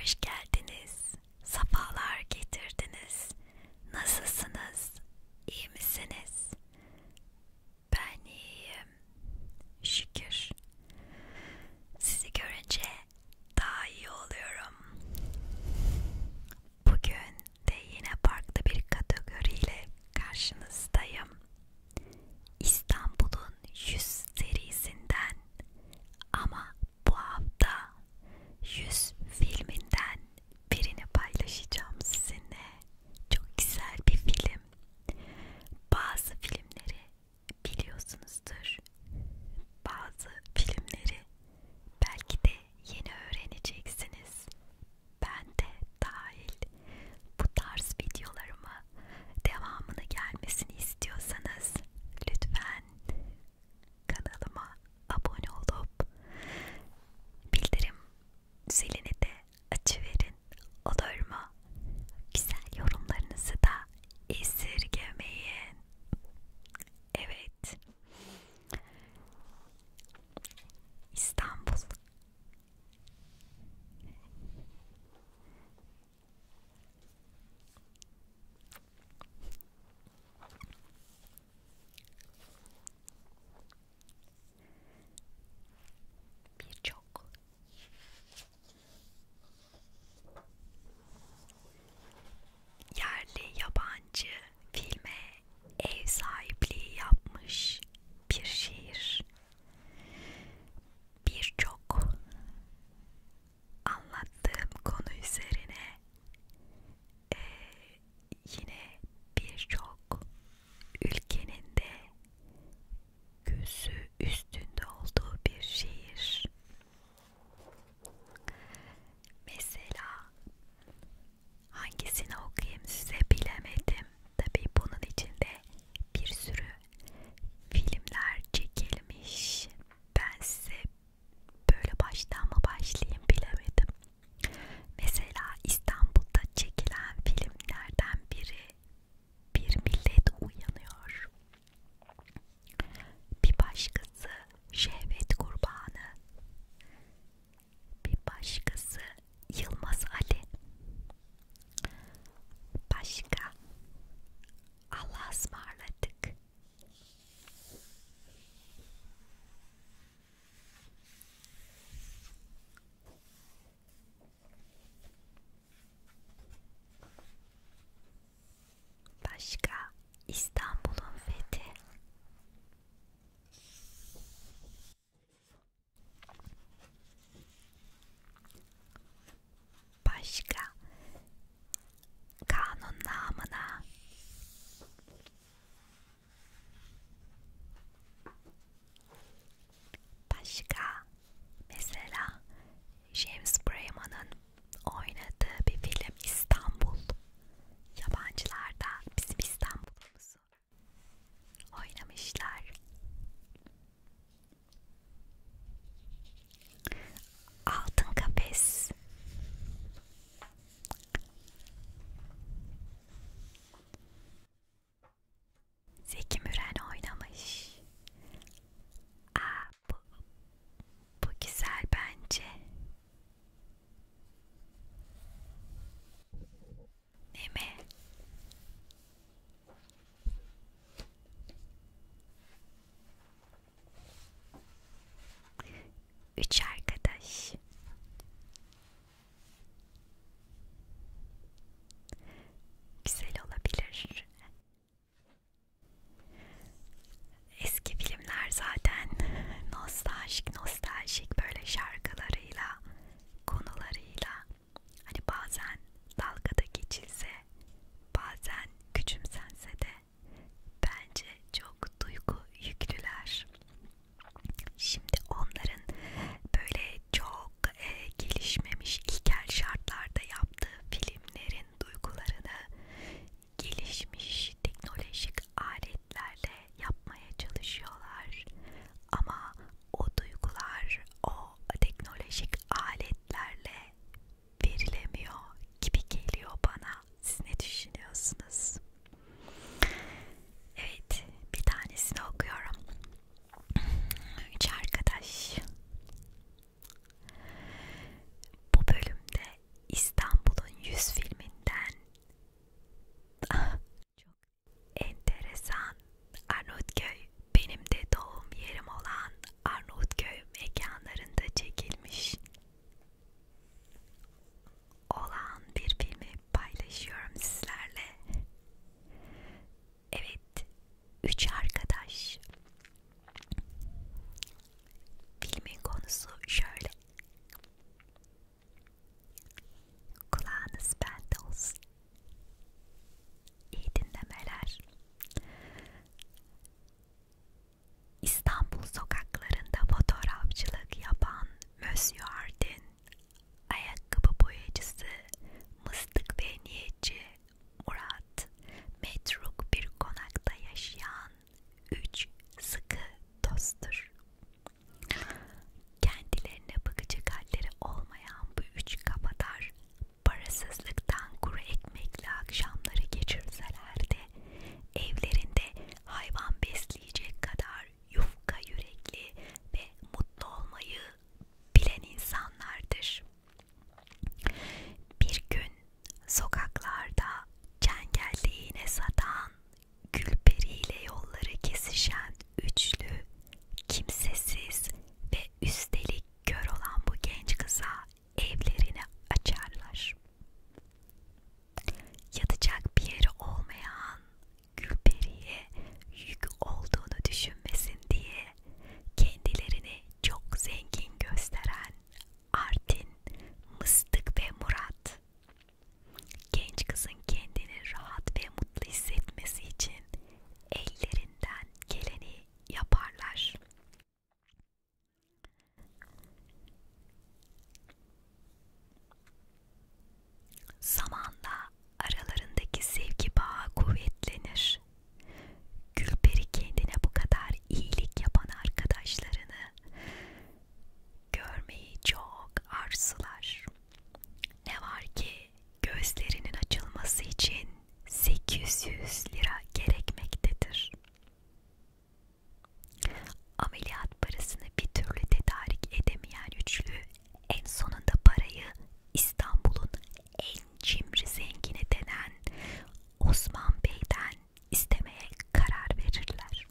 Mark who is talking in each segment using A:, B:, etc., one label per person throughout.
A: hoş geldiniz, safalar getirdiniz. Nasılsınız, iyi misiniz? Ben iyiyim, şükür. Sizi görünce daha iyi oluyorum. Bugün de yine farklı bir kategoriyle karşınızdayım. İstanbul'un 100 serisinden ama bu hafta 100 filminden birini paylaşacağım sizinle. Çok güzel bir film. Bazı filmleri biliyorsunuzdur. Bazı filmleri belki de yeni öğreneceksiniz. Ben de dahil bu tarz videolarımı devamını gelmesini istiyorsanız lütfen kanalıma abone olup bildirim zilini de açıverin olur mu? Güzel yorumlarınızı da esirgemeyin. Evet. İstanbul Birçok yerli yabancı filme ev sahipliği yapmış bir şiir. Birçok anlattığım konu üzerine e, yine birçok ülkenin de gözü üstünde olduğu bir şehir. Mesela hangisini okuyayım size bilemedim. Tabii bunun içinde bir sürü filmler çekilmiş. Ben size böyle baştan mı başlayayım bilemedim. Mesela İstanbul'da çekilen filmlerden biri Bir Millet Uyanıyor. Bir başkası Şehvet Kurbanı. Bir başkası Yılmaz Ali. Başka Allah'a ısmarladık. Başka İstanbul'un fethi başka kanun namına başka mesela James Brayman'ın oynadığı bir film İstanbul yabancılarda bizim İstanbul'umuzu oynamışlar Altın kafes. Zeki Müren oynamış. Aa, bu, bu güzel bence. Ne mi? Üç arkadaş güzel olabilir. Eski filmler zaten nostaljik nostaljik böyle şarkılarıyla, konularıyla hani bazen dalgada geçilse, bazen küçümsense de bence çok duygu yüklüler. Şimdi onların böyle çok e, gelişmemiş ilkel şartlarda yaptığı filmlerin duygularını gelişmiş teknolojik aletlerle yapmaya çalışıyorlar. Ama o duygular o teknolojik aletlerle verilemiyor gibi geliyor bana. Siz ne düşünüyorsunuz? Evet, bir tanesini okuyorum. Üç arkadaş. Bu bölümde İstanbul'un yüz filminden çok enteresan Arnavutköy benim de doğum yerim olan Arnavutköy mekanlarında çekilmiş olan bir filmi paylaşıyorum sizlerle. Evet, üç arkadaş. Filmin konusu şöyle. Kulağınız bende olsun. İyi dinlemeler. İstanbul sokaklarında fotoğrafçılık yapan Monsieur Ardin, ayakkabı boyacısı, mıstık ve niyetçi Murat, metruk bir konakta yaşayan üç sıkı dosttur. Kendilerine bakıcı halleri olmayan bu üç kafadar parasızlıktan kuru ekmekle akşamları geçirseler de evlerinde hayvan besleyecek kadar yufka yürekli ve mutlu olmayı bilen insanlardır. Bir gün sokaklarda çengelliğine satan, gülperiyle yolları kesişen üçlü, kimsesiz ve üstelik kör olan bu genç kıza evlerini açarlar. Yatacak bir yeri olmayan Gülperi'ye yük olduğunu düşünmesin diye kendilerini çok zengin gösteren Artin, Mıstık ve Murat. Genç kızın kendini rahat ve mutlu hissetmesi için ellerinden geleni yaparlar. Zamanla aralarındaki sevgi bağı kuvvetlenir. Gülperi kendine bu kadar iyilik yapan arkadaşlarını görmeyi çok arzular. Ne var ki gözlerinin açılması için 800 lira gerekmektedir. Ameliyat parasını bir türlü tedarik edemeyen üçlü en sonunda parayı İstanbul'un en cimri zengini denen Osman Bey'den istemeye karar verirler.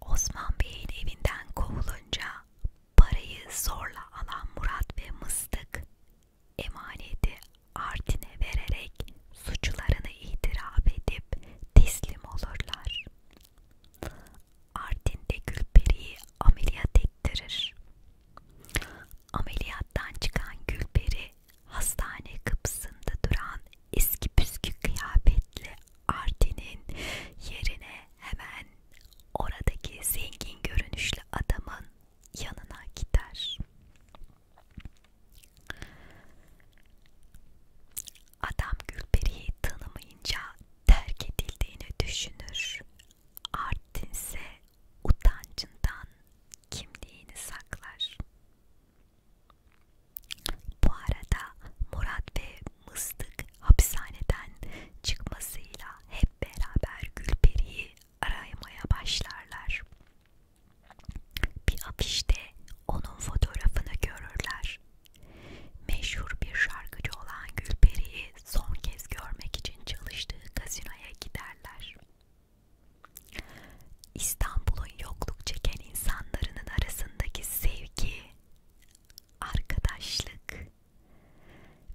A: Osman Bey'in evinden kovulunca Parayı zorla alan Murat ve Mıstık emaneti Artin'e vererek suçlarını itiraf edip teslim olurlar. Artin de Gülperi'yi ameliyat ettirir. Ameliyattan çıkan Gülperi hastane kapısında duran eski püskü kıyafetli Artin'in yerine hemen oradaki zengin görünüşlü adamın yanına gider. Adam Gülperi'yi tanımayınca terk edildiğini düşünür. Artin ise utancından kimliğini saklar. Bu arada Murat ve mıstık hapishaneden çıkmasıyla hep beraber Gülperi'yi aramaya başlarlar. Bir afişte onun fotoğrafını görürler. Meşhur bir şarkıcı olan Gülperi'yi son kez görmek için çalıştığı gazinoya giderler. İstanbul'un yokluk çeken insanların arasındaki sevgi, arkadaşlık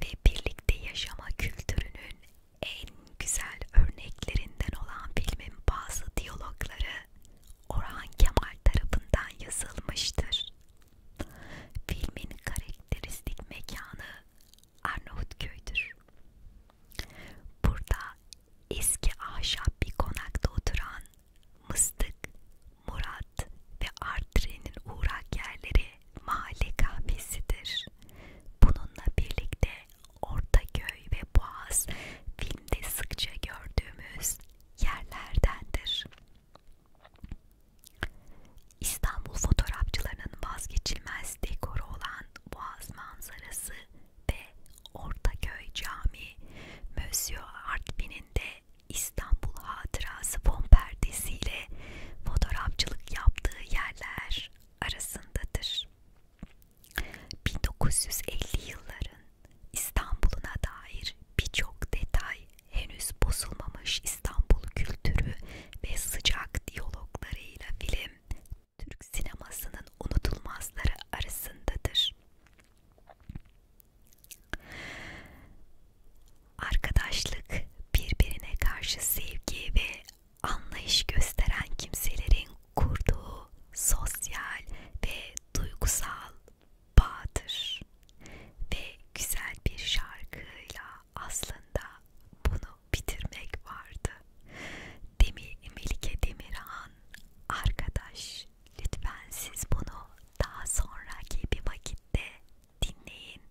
A: ve birlikte yaşama kültürünün en güzel örneklerinden olan filmin bazı diyalogları Orhan Kemal tarafından yazılmıştır. Filmin karakteristik mekanı Arnavutköy'dür. Burada eski ahşap bir konakta oturan Mıstık, Murat Saat ve Artre'nin uğrak yerleri mahalle kahvesidir. Bununla birlikte Ortaköy ve Boğaz filmde sıkça gördüğümüz yerlerdendir. İstanbul fotoğrafçılarının vazgeçilmez dekoru olan Boğaz manzarası ve Ortaköy Camii, Mösyö Artvin'in de İstanbul hatırası fon perdesiyle fotoğrafçılık yaptığı yerler arasındadır. 1950 yılların İstanbul'una dair birçok detay henüz bozulmamış İstanbul kültürü ve sıcak diyaloglarıyla film Türk sinemasının unutulmazları arasındadır. Arkadaşlık birbirine karşı sevgi ve anlayış gösteren kimselerin kurduğu sosyal ve duygusal bağdır. Ve güzel bir şarkıyla aslında bunu bitirmek vardı. Demir Melike Demirhan arkadaş olabilir. Lütfen siz bunu daha sonraki bir vakitte dinleyin.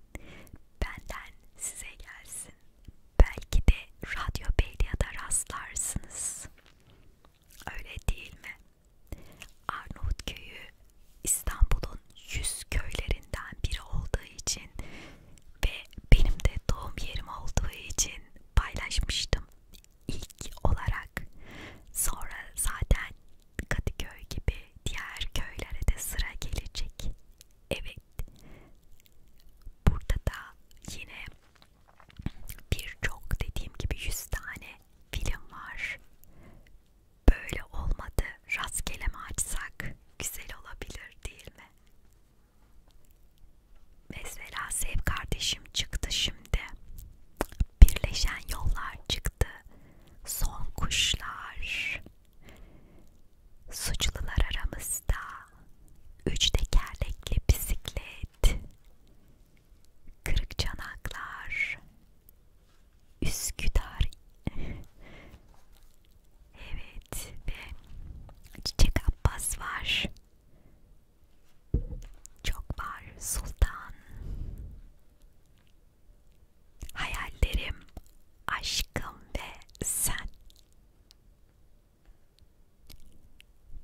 A: Benden size gelsin. Belki de Radyo Beylia'da rastlarsınız. Öyle değil mi? Arnavutköy'ü İstanbul'un yüz köylerinden biri olduğu için ve benim de doğum yerim olduğu için paylaşmıştım ilk olarak. Sonra zaten Kadıköy gibi diğer köylere de sıra gelecek. Evet. Burada da yine birçok dediğim gibi 100 tane film var. Böyle olmadı. Rastgele mi açsak güzel olabilir değil mi? Mesela Sev kardeşim çıktı şimdi. Birleşen yollar çıktı son kuşlar, suçlular aramızda, üç tekerlekli bisiklet, kırık çanaklar, Üsküdar, evet ve Çiçek Abbas var, çok var Sultan Hayallerim, aşkım ve sen.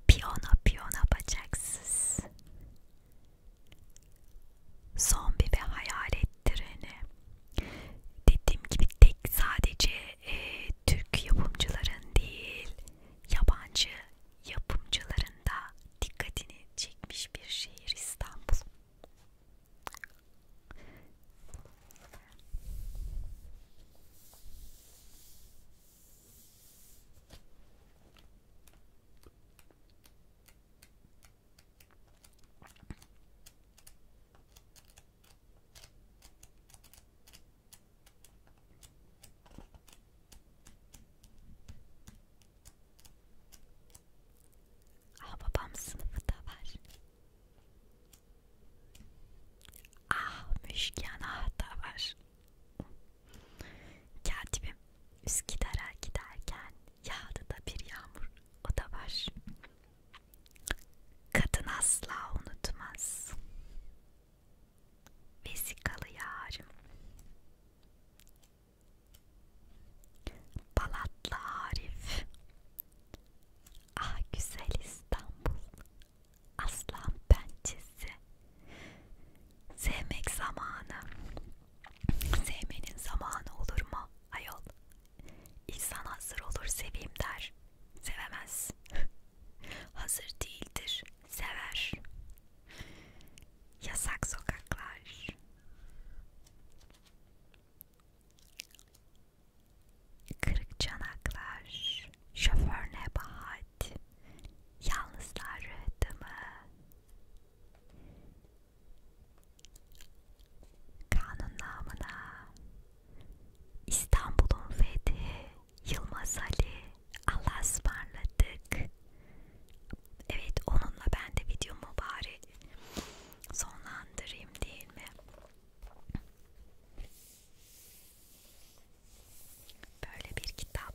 A: Piyano piyano bacaksız. Zombi ve hayalet treni. Dediğim gibi tek sadece e, Türk yapımcıların değil, yabancı yapımcıların da dikkatini çekmiş bir şehir İstanbul. Aa babam sınıfı da var. Ah müşken ah da var. Katibim Üsküdar'a giderken yağdı da bir yağmur o da var. Kadın asla unutmaz. Vesikalı yarım. Balatlı Arif Ah güzel İstanbul Aslan pençesi Sevmek zamanı Sevmenin zamanı olur mu ayol İnsan hazır olur seveyim der Sevemez Hazır değildir Sever Yasak sokaklar. Kırık çanaklar. Şoför nebahat. Yalnızlar rıhtımı. Kanun namına. İstanbul'un fethi. Yılmaz Ali. Allah'a ısmarladık. Evet onunla ben de videomu bari sonlandırayım değil mi? Böyle bir kitap.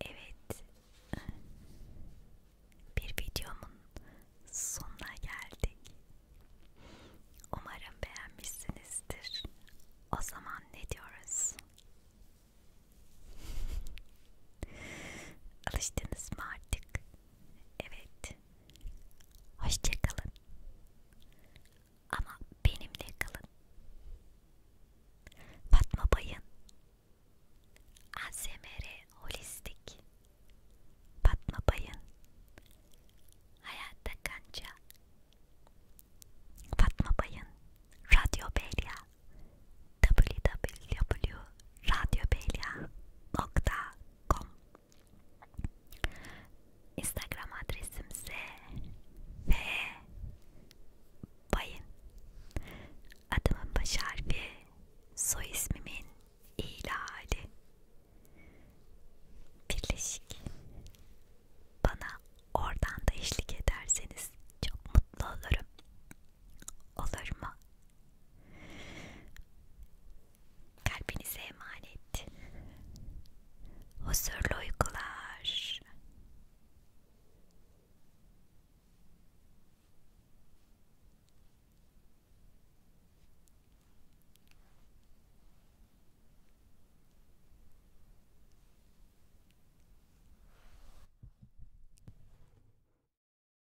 A: Evet, bir videomun sonuna geldik. Umarım beğenmişsinizdir. O zaman ne diyoruz? Alıştınız mı artık? Evet, Hoşçakalın. Ama benimle kalın. Fatma Bayın. ASMR Holistik. Fatma Bayın. Hayatta Kanca. Fatma Bayın. Radyo Belya. gmail.com Instagram adresimse ve bayın adımın baş harfi soy ismimin ilali birleşik bana oradan da eşlik ederseniz çok mutlu olurum olur mu? Kalbinize emanet. Huzurlu uykular.